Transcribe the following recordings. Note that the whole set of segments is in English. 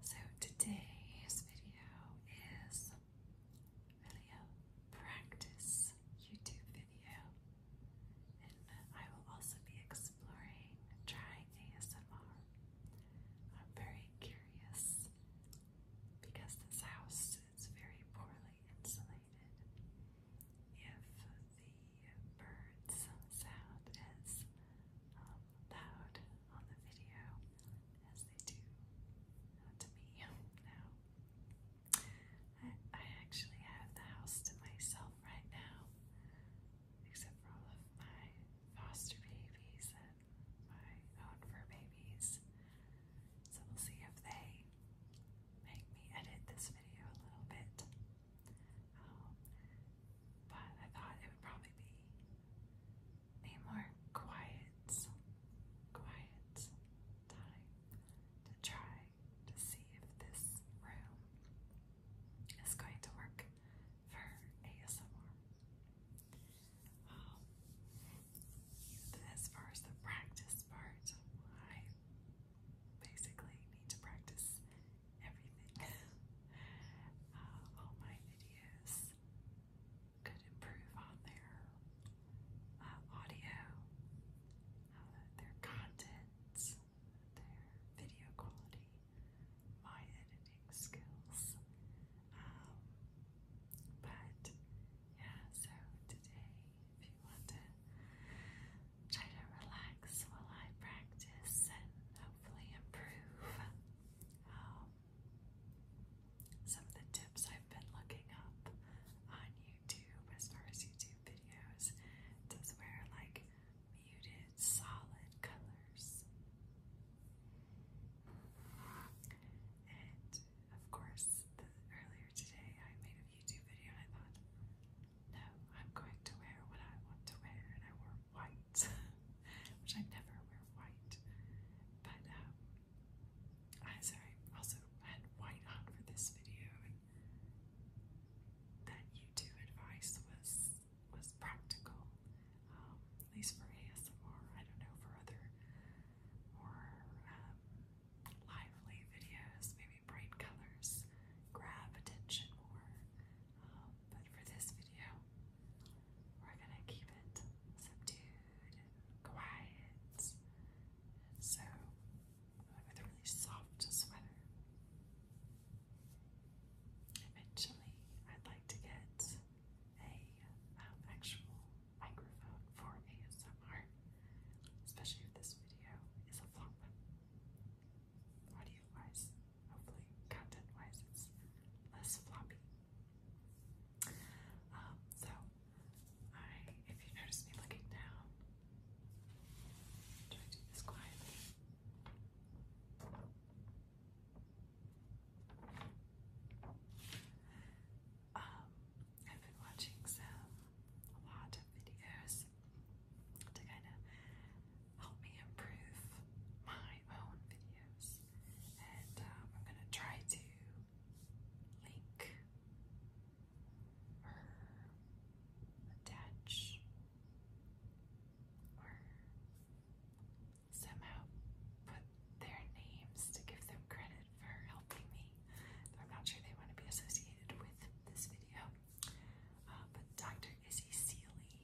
So today's video is really practice YouTube video, and I will also be exploring trying ASMR. I'm very curious because this house is very poorly insulated if the birds sound as um, loud on the video as they do uh, to me now. I actually have the house to myself right now, except for all of my foster babies and my own fur babies. So we'll see if they make me edit this video a little bit. Um, but I thought it would probably be a more quiet, quiet time to try to see if this room is going to work for ASMR. Um, as far as the practice part, I basically need to practice everything. Uh, all my videos could improve on their uh, audio, uh, their content, their video quality, my editing skills. Um, but yeah, so today, you want to try to relax while I practice and hopefully improve some of the tips I've been looking up on YouTube as far as YouTube videos. It wear like muted, solid colors. And of course, earlier today I made a YouTube video I thought, no, I'm going to wear what I want to wear, and I wore white, which I never wear white. But um, I sorry, also had white on for this video, and that YouTube advice was was practical, um, at least for ASMR. I don't know for other more um, lively videos, maybe bright colors, grab attention more. Um, but for this video, we're gonna keep it subdued quiet. so with a really soft sweater. Eventually, I'd like to get a um, actual microphone for ASMR, especially if this video is a flop audio wise, hopefully content wise, it's less floppy. Um, so, I, if you notice me looking down, try to do this quietly. Um, I've been watching some, lot of videos to kind of help me improve my own videos. And um, I'm going to try to link or attach or somehow put their names to give them credit for helping me. I'm not sure they want to be associated with this video. Uh, but Dr. Izzy Seeley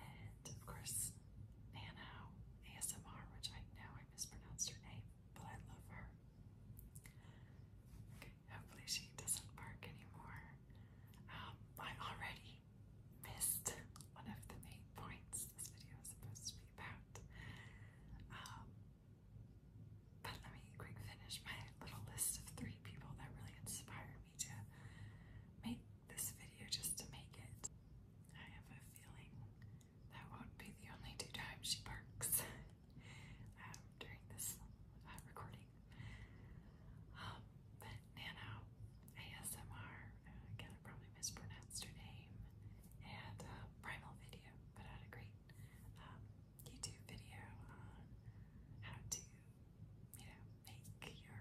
and of course Nano ASMR, which I know I mispronounced her name, but I love her. Okay, hopefully she doesn't bark anymore. Um, I already missed one of the main points this video is supposed to be about. Um, but let me quick finish my little list of three people that really inspired me to make this video just to make it. I have a feeling that won't be the only two times she barks um, during this uh, recording. Um, but Nano ASMR, uh, again, I probably mispronounced her name, and uh, Primal Video put out a great um, YouTube video on how to, you know, make your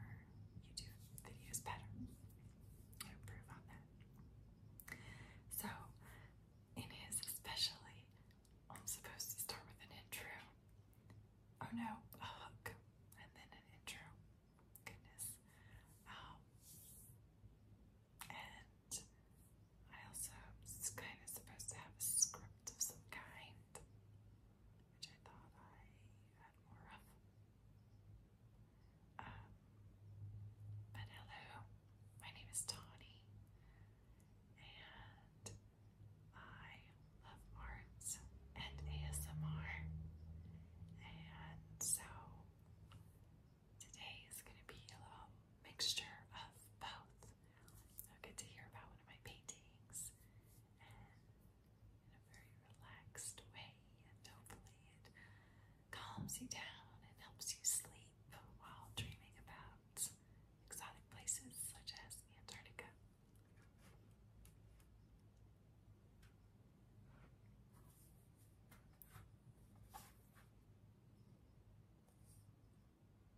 YouTube videos better improve on that. So, in especially, I'm supposed to start with an intro. Oh no, a hook, and then an intro. Goodness. Um, and that. I also was kind of supposed to have a script of some kind, which I thought I had more of. Um, but hello, my name is Tawny, and I love arts and ASMR, and so today is going to be a little mixture of both. I get to hear about one of my paintings and in a very relaxed way, and hopefully it calms you down and helps you sleep while dreaming about exotic places such as Antarctica.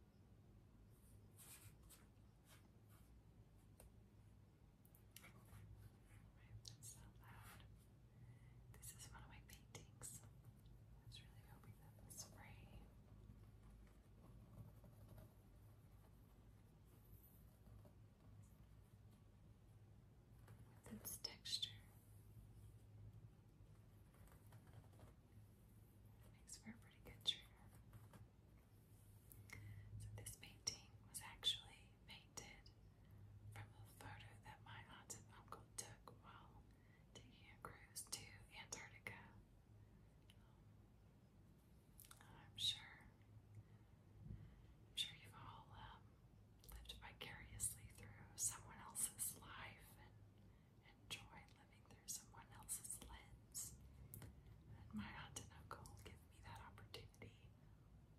That's so This is one of my paintings. I was really hoping that the spray its texture Makes for a pretty good trigger. So this painting was actually painted from a photo that my aunt and uncle took while taking a cruise to Antarctica. Um, I'm sure, I'm sure you've all um, lived vicariously through someone else's life enjoy living through someone else's lens. And my aunt and uncle give me that opportunity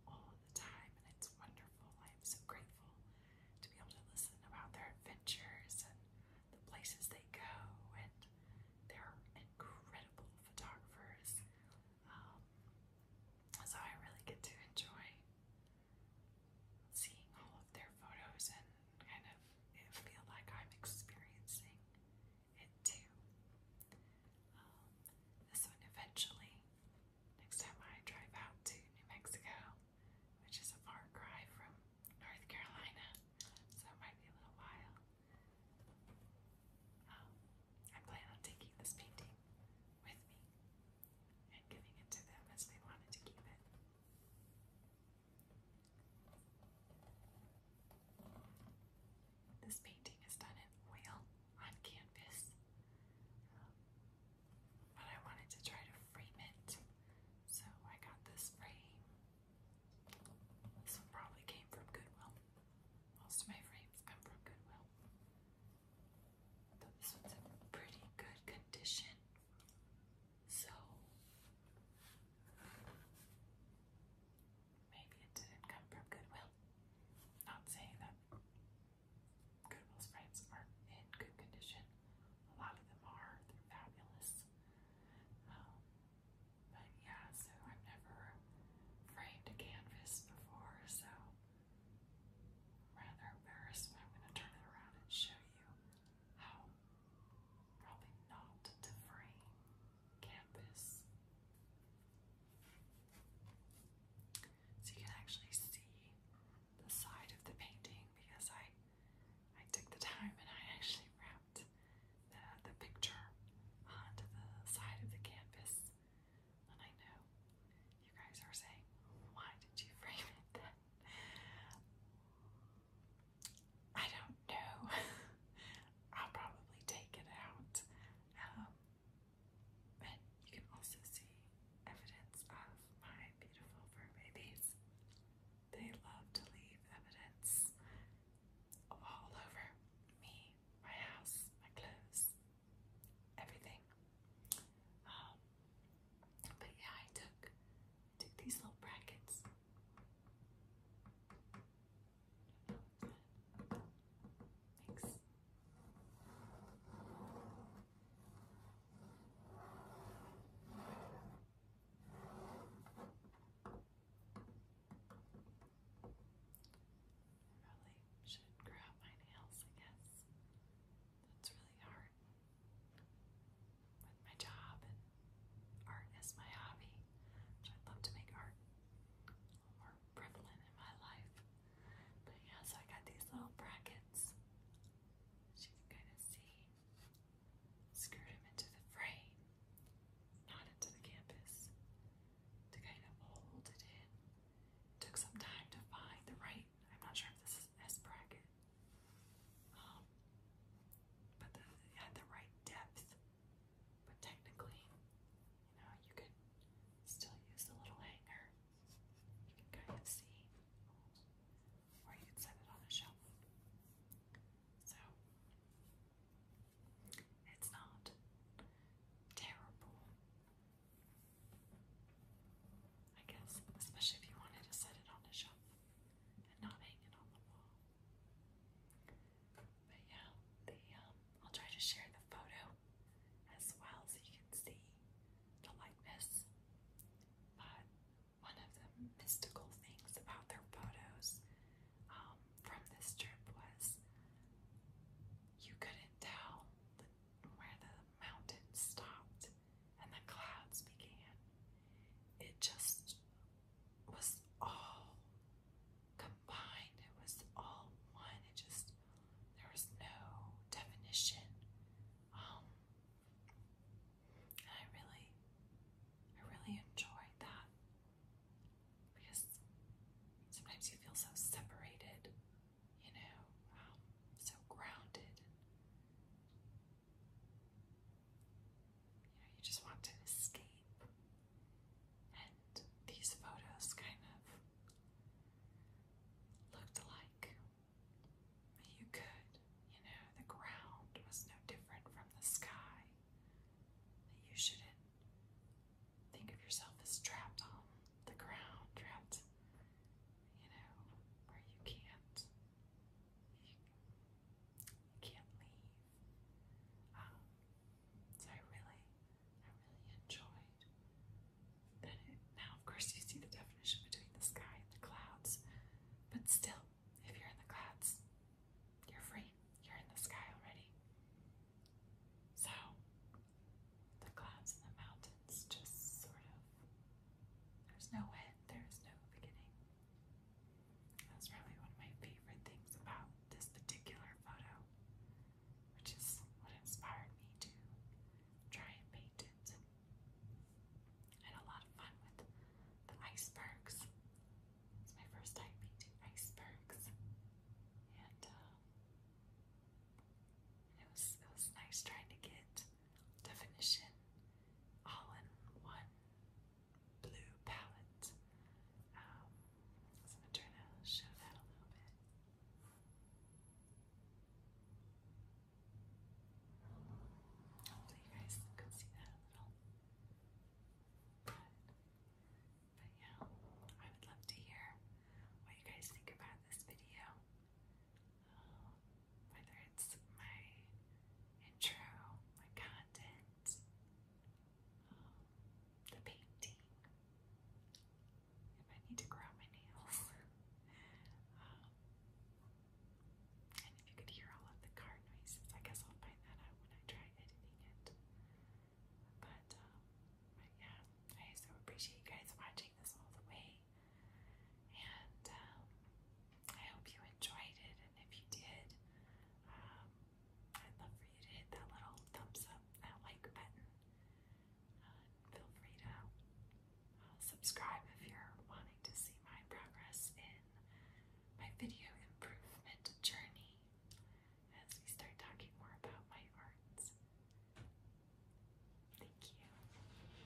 all the time, and it's wonderful. I am so grateful to be able to listen about their adventures and the places they go, and they're incredible photographers. Um, so I really get to enjoy seeing all of their photos and kind of feel like I'm experiencing it too. Um, this one eventually, next time I drive out to New Mexico, which is a far cry from North Carolina, so it might be a little while. Um, I plan on taking this painting with me and giving it to them as they wanted to keep it. This painting is done in oil on canvas, but I wanted to try to frame it, so I got this frame. This one probably came from Goodwill. Most of my frames come from Goodwill. Though this one's in pretty good condition. So maybe it didn't come from Goodwill. Not saying that Goodwill sprites are in good condition. A lot of them are. They're fabulous. Um, but yeah, so I've never framed a canvas before, so rather embarrassed, but I'm going to turn it around and show you how probably not to frame campus. So you can actually see the side of the painting because I I took the time and I actually wrapped the, the picture onto the side of the canvas. And I know you guys are saying, why did you frame it then? I don't know. I'll probably take it out. Um, and you can also see evidence of my beautiful fur babies. They love to leave evidence all over me, my house, my clothes, everything. Um, but yeah, I took took these little brackets. Thanks. I should grow out my nails, I guess. That's really hard my job and art as my hobby, i love to make art more prevalent in my life. But yeah, so I got these little brackets, you can kind of see, screwed them into the frame, not into the canvas, to kind of hold it in. took some time to find the right I'm not sure if this is S bracket. Um, but it had the right depth. But technically, you know, you could still use the little hanger. You can kind of see. Or you could set it on a shelf. So, it's not terrible. I guess, especially if you wanted to set it on a shelf not hanging on the wall. But yeah, the um, I'll try to share the photo as well so you can see the likeness. But one of the mystical things about their photos um, from this trip was you couldn't tell where the mountain stopped and the clouds began. It just was all combined, it was all one. It just, there was no definition. Um, I really, I really enjoyed that because sometimes you feel so separated, you know, um, so grounded. You know, you just want to escape. And these photos kind of looked alike. You could, you know, the ground was no different from the sky. You shouldn't think of yourself as trapped on the ground, trapped, you know, where you can't you can't leave. Um, so I really, I really enjoyed that. now, of course, you see the definition between the sky and the clouds, but still, if you're in the clouds, you're free. You're in the sky already. So, the clouds and the mountains. It's just sort of, there's no end, there's no beginning. That's really one of my favorite things about this particular photo, which is what inspired me to try and paint it. I had a lot of fun with the icebergs. It's my first time painting icebergs. And, um, it was, it was nice trying to get definition all in one blue palette. Um, I'm trying to show that a little bit. Hopefully, you guys could see that a little. but yeah, I would love to hear what you guys think about this video whether it's my intro, my content, um, the painting, if I need to grow my nails. Um, and if you could hear all of the car noises, I guess I'll find that out when I try editing it. but um, yeah, I so appreciate you guys watching this all the way. And um, I hope you enjoyed it. And if you did, um, I'd love for you to hit that little thumbs up, that like button. Uh, feel free to uh, subscribe if you're wanting to see my progress in my video improvement journey as we start talking more about my arts. Thank you.